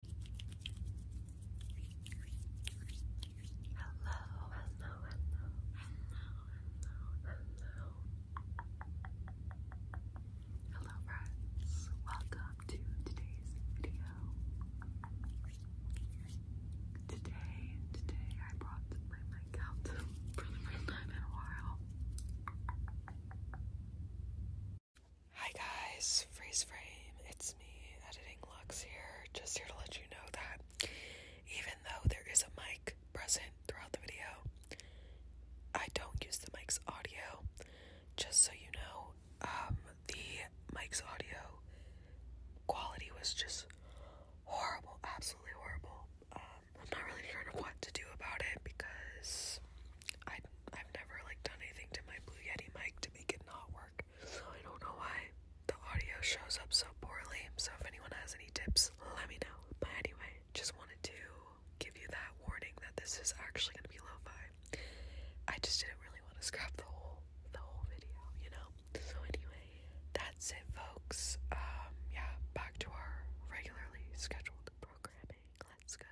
Hello, hello, hello, hello, hello, hello. friends, welcome to today's video. Today, today I brought my mic out for the first time in a while. Hi guys, Freeze Frame, it's me, Editing Lux here, just here to let you know that even though there is a mic present throughout the video, I don't use the mic's audio. Just so you know, um, the mic's audio quality was just horrible, absolutely horrible. Um, I'm not really sure what to do about it because I I've never like done anything to my Blue Yeti mic to make it not work. I don't know why the audio shows up so poorly. So if anyone has any tips, let me know. But anyway, just wanted to give you that warning that this is actually gonna be lo-fi. I just didn't really want to scrap the whole the whole video, you know? So anyway, that's it folks. Um, yeah, back to our regularly scheduled programming. Let's go.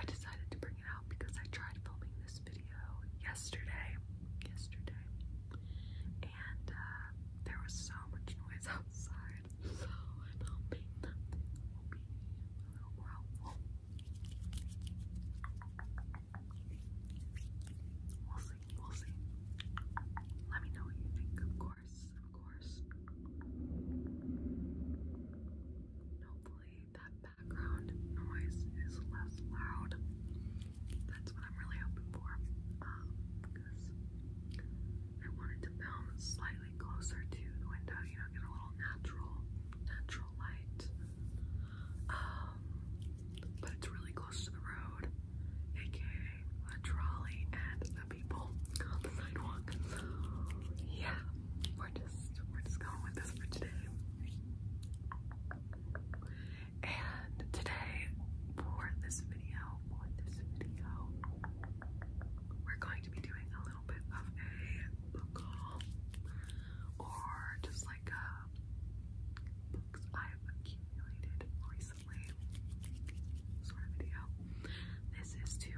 I decided to bring it out because I tried filming this video yesterday, yesterday, and uh, there was so much noise outside, so I don't think will be a little more helpful. We'll see, we'll see. Let me know what you think, of course, of course. Hopefully, that background noise is less loud. That's what I'm really hoping for. Um, because I wanted to film slightly closer to the window, you know, get a little natural, natural light. Um, but it's really close to the road, aka the trolley and the people on the sidewalk. yeah, we're just going with this for today. And today for this video, we're going to be doing a little bit of a book haul or just like uh, books I've accumulated recently sort of video. This is to to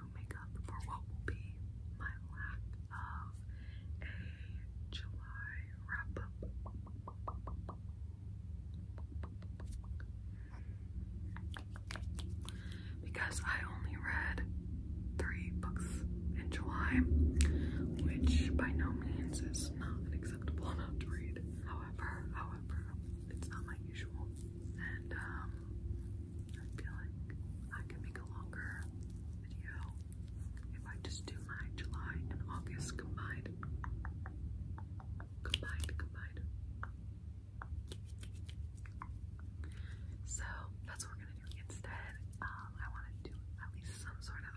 for what will be my lack of a July wrap up. Because I only read three books in July, which by no means is not an acceptable amount to read. However, however, it's not my usual. And um, I feel like I can make a longer video if I just do my July and August combined. Combined, combined. So that's what we're gonna do instead. Um, I want to do at least some sort of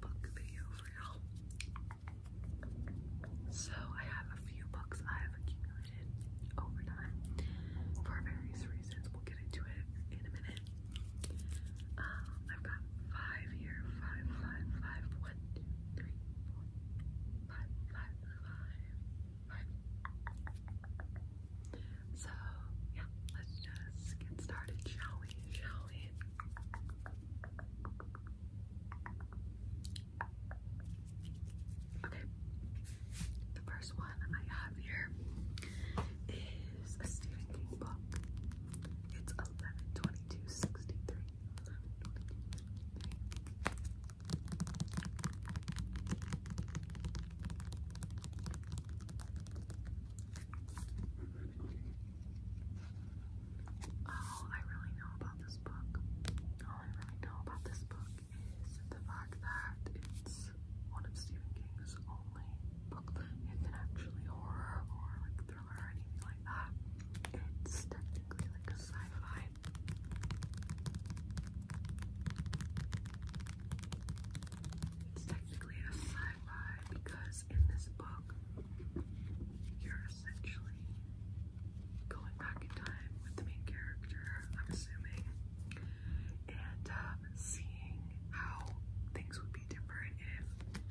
book video for y'all. So I have a few books I've accumulated limited overtime for various reasons. We'll get into it in a minute. Um, I've got five here. Five, five, five. One, two, three, four, five, five, five, five. So, yeah, let's just get started, shall we? Shall we? Okay, the first one I have here is a Stephen King book. It's 112263. Oh, I really know about this book. Oh, I really know about this book is the fact that it's one of Stephen King's only book that isn't actually horror or like thriller or anything like that. It's technically like a sci-fi. It's technically a sci-fi because in this book you're essentially going back in time with the main character, I'm assuming and uh, seeing how things would be different if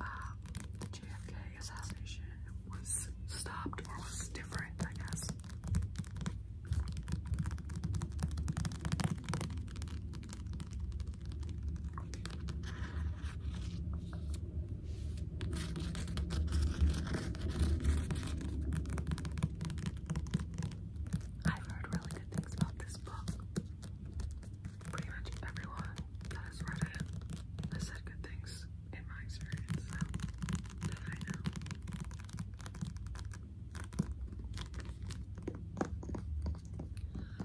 um, the JFK assassination was stopped or was different, I guess. I've heard really good things about this book. Pretty much everyone that has read it has said good things in my experience, that I know.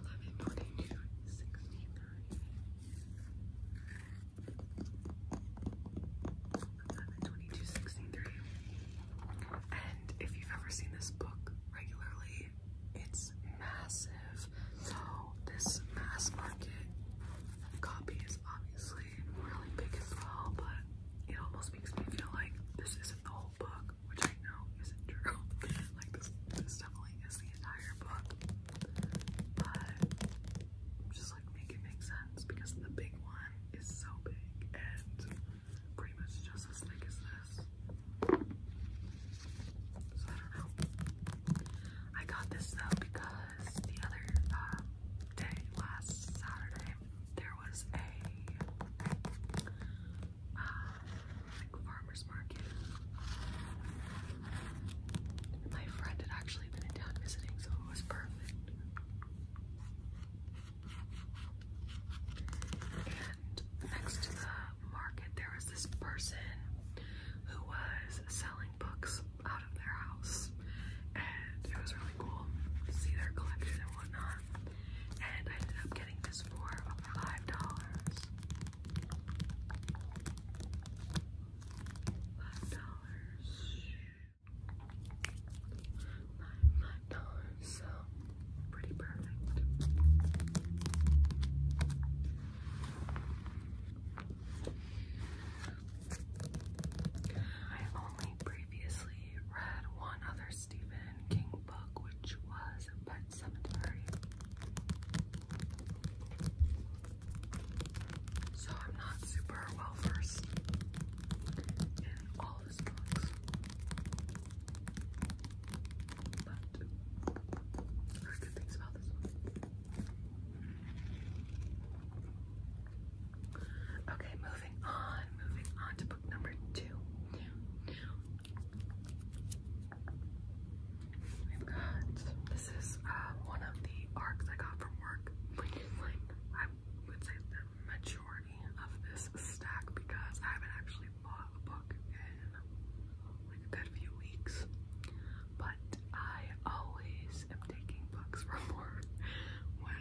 Let me put in 2263. And if you've ever seen this book regularly, it's massive. So this mass market copy is obviously really big as well, but it almost makes me feel like this isn't the whole book, which I know isn't true. like this, this definitely is the entire book, but just like make it make sense because the big one is so big and pretty much just as thick as this. I got this though because the other um, day, last Saturday, there was a uh, farmer's market. My friend had actually been in town visiting, so it was perfect. And next to the market, there was this person who was selling books out of their house, and it was really cool to see their collection and whatnot. And I ended up getting this for five dollars. Five dollars. Nine, nine dollars, so pretty perfect. I only previously read one other Stephen King book, which was Pet Cemetery. So I'm not super well versed in all Okay, moving on, moving on to book number two. We've got this is uh, one of the arcs I got from work, would say the majority of this stack because I haven't actually bought a book in like a good few weeks. But I always am taking books from work when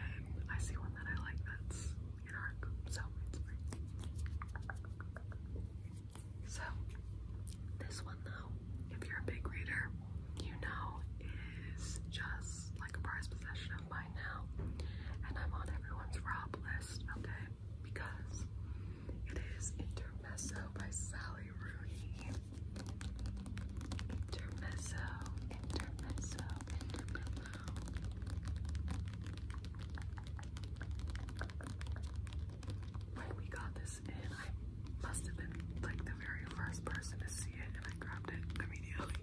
I see one that I like that's in our so it's free. So this one though, if you're a big reader, you know is just like a prized possession by now, and I'm on everyone's Rob list, okay? Because it is Intermezzo by Sally Rooney. Intermezzo, intermezzo, intermezzo. When we got this in, I must have been like the very first person to see it, and I grabbed it immediately.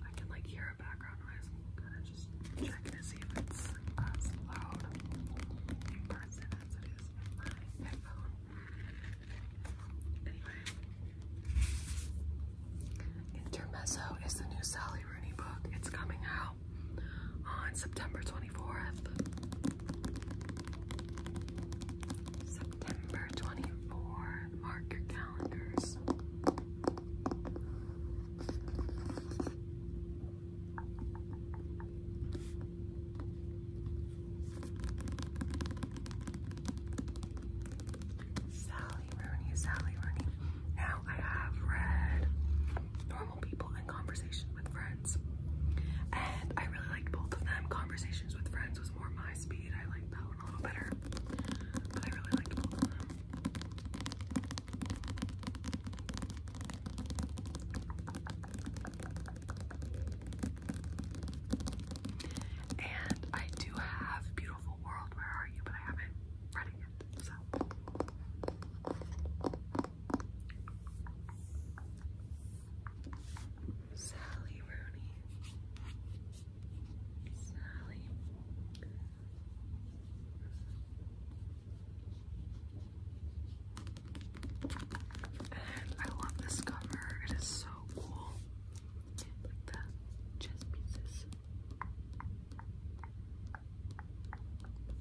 I can like hear a background noise. kind of just checking to see if it's as loud in person as it is in my headphone. Anyway, Intermezzo is the new Sally Rooney book. It's coming out on oh, September 24th. September 24th. Mark your calendars. Sally Rooney, Sally Rooney. Now I have read people and conversations with friends. And I really liked both of them. Conversations with friends was more my speed. I liked that one a little better. But I really liked both of them. And I do have Beautiful World, Where Are You? But I haven't read it So Sally Rooney. Sally. I love this cover. It is so cool. Like the chess pieces.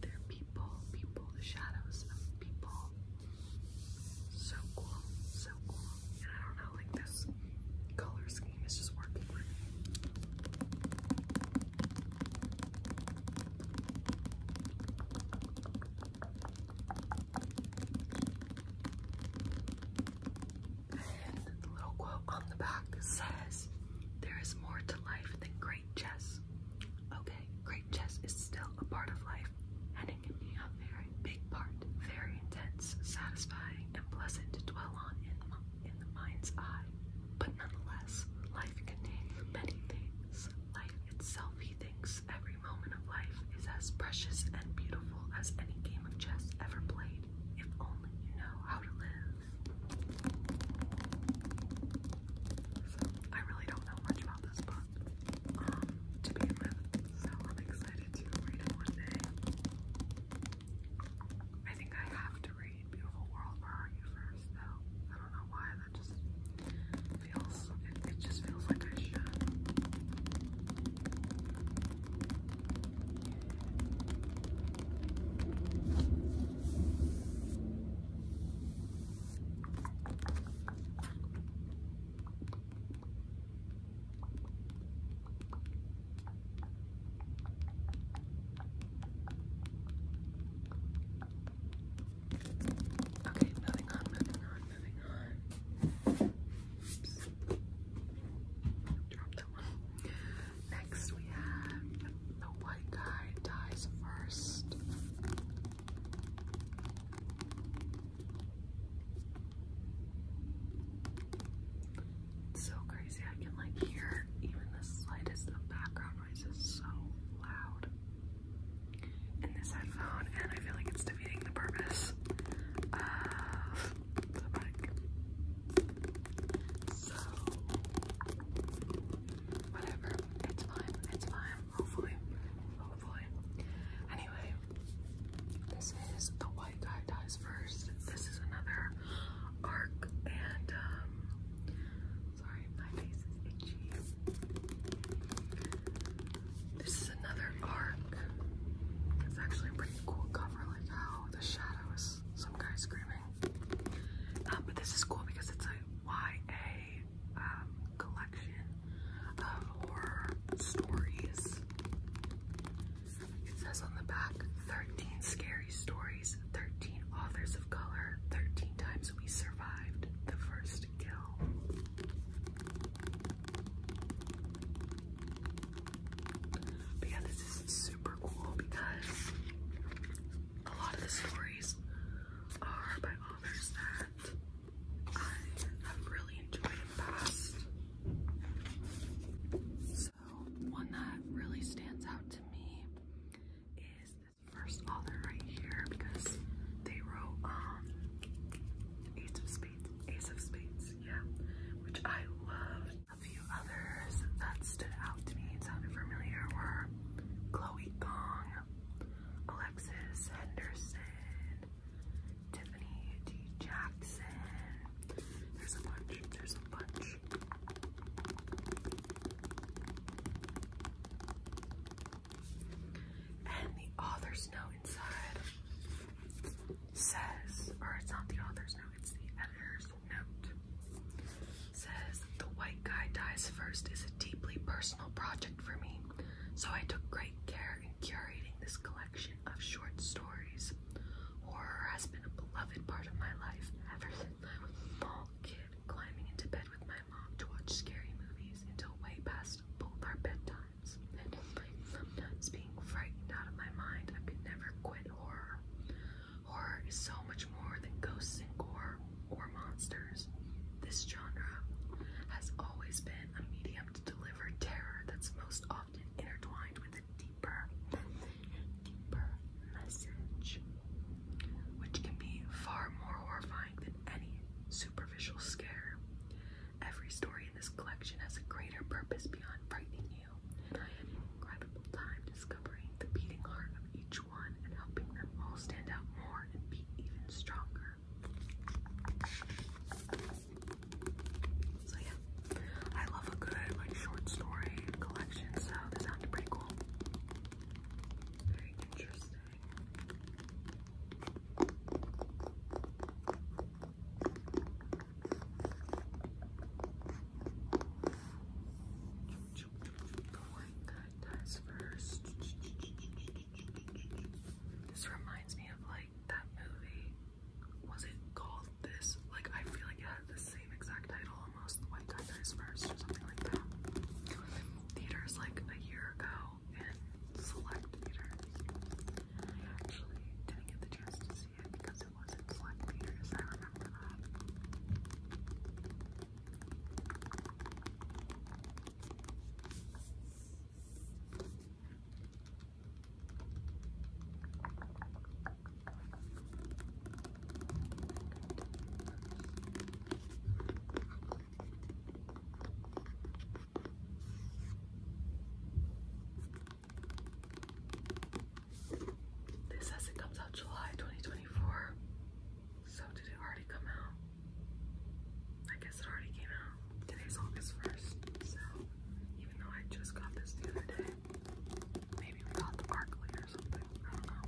They're people, people, the shadows of people. So cool, so cool. I don't know, like this color scheme is just working for me. And the little quote on the back says, There is more to life than chess. Okay, great chess is still a part of life, and it can be a very big part, very intense, satisfying, and pleasant to dwell on in, the mind's eye. But nonetheless, life contains many things. Life itself, thinks, every moment of life is as precious and beautiful as any game of chess ever played, if only you know how to live. So I really don't know much about this book um, to begin with, so I'm excited to read it one day. I think I have to read Beautiful World Where Are You first, though. I don't know why that just feels. It, just feels like I should. Okay, moving on, moving on, moving on. Oops. that one. Next we have the white guy dies first. so crazy. I can like hear even the slightest of background noise is so loud in this headphone, and I feel like it's defeating the purpose of the mic. So, whatever. It's fine, it's fine. Hopefully, hopefully. Anyway, this is the white guy dies first. This is another arc, and um, sorry, my face is itchy. This is another arc. It's actually a pretty cool cover, like how the shadow is some guy screaming. Um, but this is cool because it's a YA um, collection of horror stories. It says on the back 13 scary stories, 13 authors of color, 13 times we survived the first kill. yeah, this is super cool because a lot of the stories are by authors that I have really enjoyed in the past. So one that really stands out to me is this first author right here because they wrote um, Ace of Spades. Ace of Spades, yeah. Which I loved. A few others that stood out to me and sounded familiar were Chloe Gong, Alexis Henderson, Tiffany D. Jackson. There's a bunch, there's a bunch. And the author's note inside says, or it's not the author's note, it's the editor's says the white guy dies first is a deeply personal project for me so i took great care in curating this collection of short stories horror has been a beloved part of my life ever since i was a small kid climbing into bed with my mom to watch scary movies until way past both our bedtimes and sometimes being frightened out of my mind i could never quit horror Horror is so much more than ghosts and gore or monsters. This genre has always been a medium to deliver terror that's most often intertwined with a deeper, deeper message, which can be far more horrifying than any superficial scare. Every story in this collection has a greater purpose beyond frightening you, and I had an incredible time discovering the beating heart of each and helping them all stand out more and be even stronger. I love a good like short story collection, so this sounds pretty cool. Very interesting white guy dies first. This reminds me of like that movie. Was it called this? Like I feel like it had the same exact title almost. The White Guy Dies First or something like that. Theaters like a year ago in select theater. I actually didn't get the chance to see it because it wasn't select theaters. I remember that. This has it comes out July 2024. So did it already come out? I guess it already came out. Today's August 1st, so even though I just got this the other day, maybe we got the park Barkley or something. I don't know.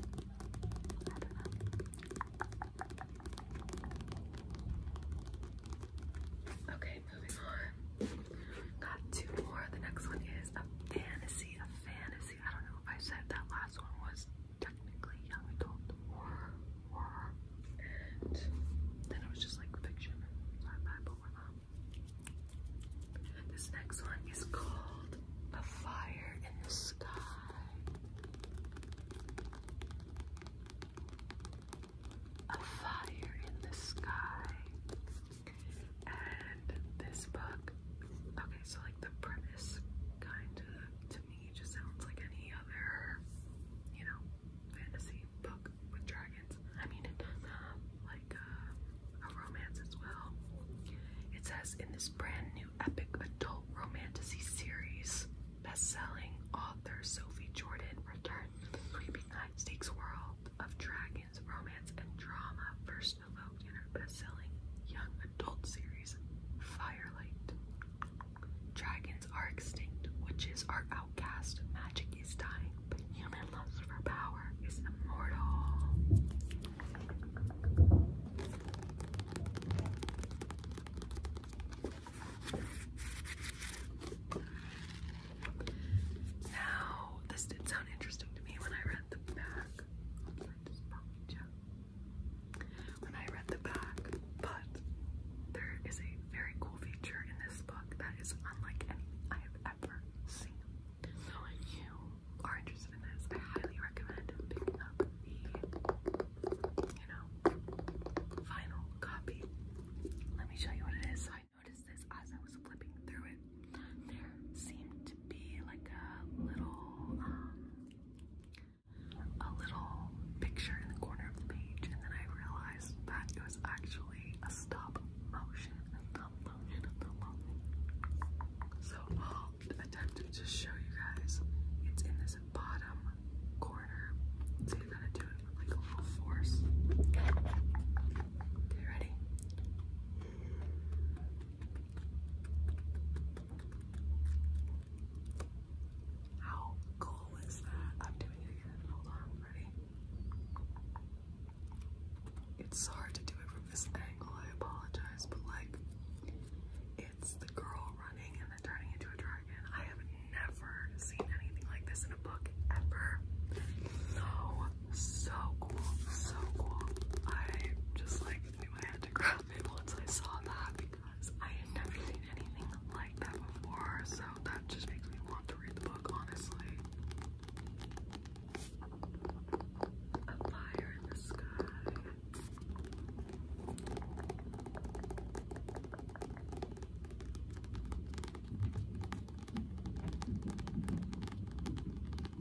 Okay, moving on. Got two more. The next one is a fantasy, a fantasy. I don't know if I said that last one was technically young and then it was just like fiction. So I bad, but we This next one is called A Fire in the Sky. A Fire in the Sky. And this book okay, so like the premise kind of to me just sounds like any other, you know, fantasy book with dragons. I mean, it like uh, a romance as well. It says in this brand new epic adult romantasy series, best-selling author Sophie Jordan returns to the creeping high world of dragons, romance, and drama First. Krishna in her best-selling young adult series, Firelight. Dragons are extinct, witches are outcast, magic is dying, but human lust for power is immortal. Now, this did sound interesting to me when I read the back when I read the back, but there is a very cool feature in this book that is unlike anything I have ever seen. So if you are interested in this, I highly recommend picking up the, you know, final copy. Let me show you what it is. I noticed this as I was flipping through it. There seemed be like a little, um, a little picture in the corner of the page, and then I realized that it was actually a stop motion, a motion, a motion. So I'll attempt to just show you guys. It's in this bottom corner, so you gotta do it like a force. Okay, ready? How cool is that? I'm doing it again. Hold on, ready? It's hard to do it from this angle, I apologize, but like, it's the girl running and then turning into a dragon. I have never seen anything like this in a book ever. So, so cool, so cool. I just like I had to grab it once I saw that because I had never seen anything like that before, so that just makes me want to read the book, honestly. A fire in the sky. Fire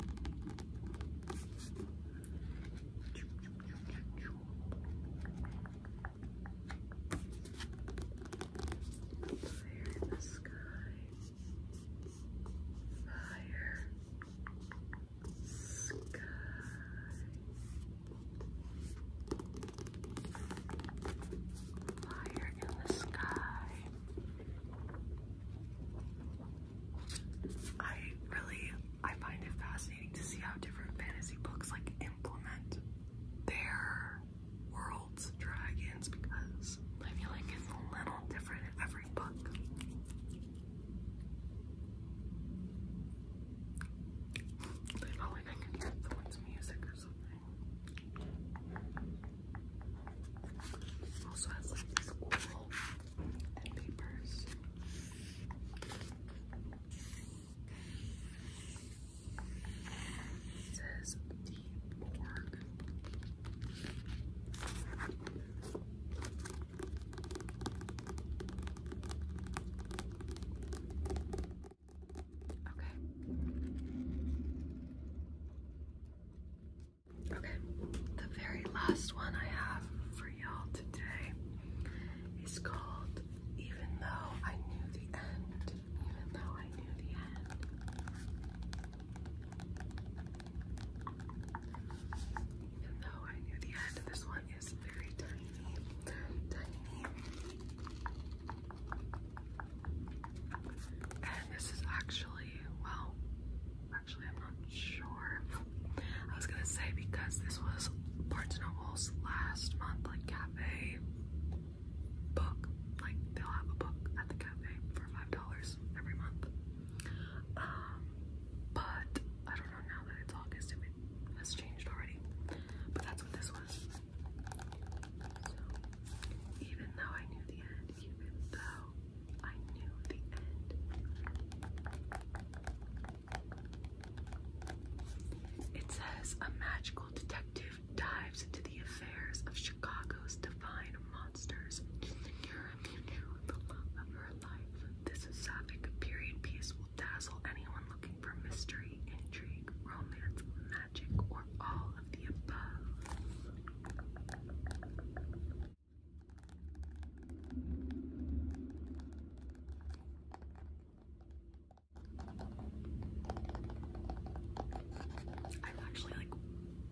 in the sky. Fire. Sky. Fire in the sky. I really I find it fascinating to see how different fantasy books like implement their world's dragons because I feel like it's a little different in every book. Also has like this cool and papers. says the Borg. Okay. Okay, the very last one I have for y'all today is called Even Though I Knew the End. Even Though I Knew the End. Even Though I Knew the End. This one is very tiny, tiny. And this is actually, well, Actually, I'm not sure. I was gonna say because this was Barnes & Noble's last month, like cafe book. Like they'll have a book at the cafe for five dollars every month. Um, but I don't know now that it's August it has changed already. But that's what this was. So even though I knew the end, even though it says a magical detective dives into the affairs of Chicago's divine monsters. This sapphic period piece will dazzle anyone looking for mystery, intrigue, romance, magic, or all of the above. I'm actually like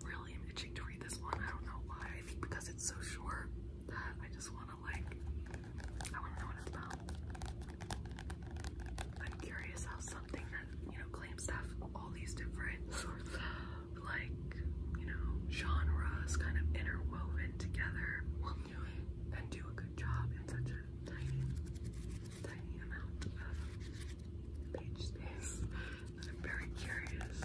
really itching to read this one. I don't know why. I think because it's so short that I just want to like, I want to know what it's about. I'm curious how something that, you know, claims to have all these different like, you know, genres kind of interwoven together will do a good job in such a tiny, tiny amount of page space. I'm very curious.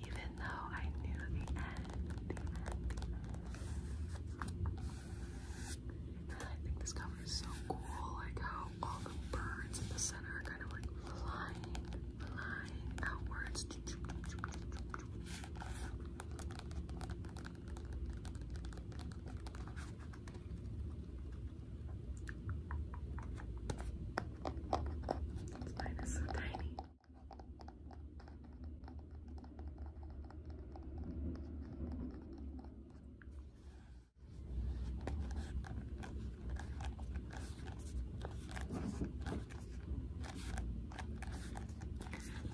Even though I knew the end, I think this cover is so cool, like how all the birds in the center are kind of like flying flying Mine is so tiny.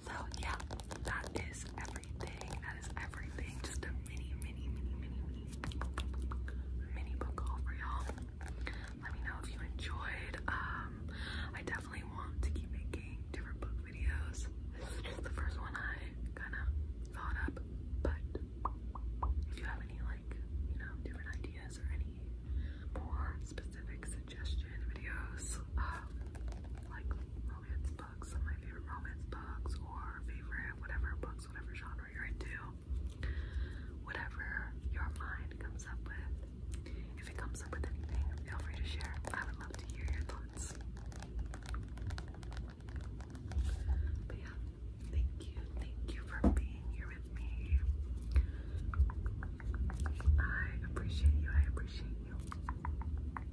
So yeah, that is everything. That is everything. Just a mini, mini, mini, mini, mini, book haul for y'all. Let me know if you enjoyed. Um, I definitely want to keep making different book videos. This is the first one I kind of thought up, but if you have any you know, different ideas or any more specific suggestion videos, um, like romance books, my favorite romance books, or favorite whatever books, whatever genre you're into, whatever your mind comes up with. If it comes up with anything, feel free to share. I would love to hear your thoughts. But yeah, Thank you, thank you for being here with me. I appreciate you, I appreciate you.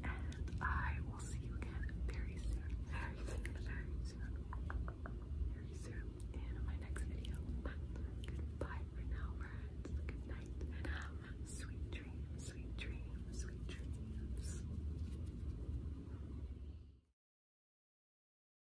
And I will see you again very soon, very soon, very soon, very soon in my next video. Goodbye for now, Good night sweet dreams, sweet dreams, sweet dreams.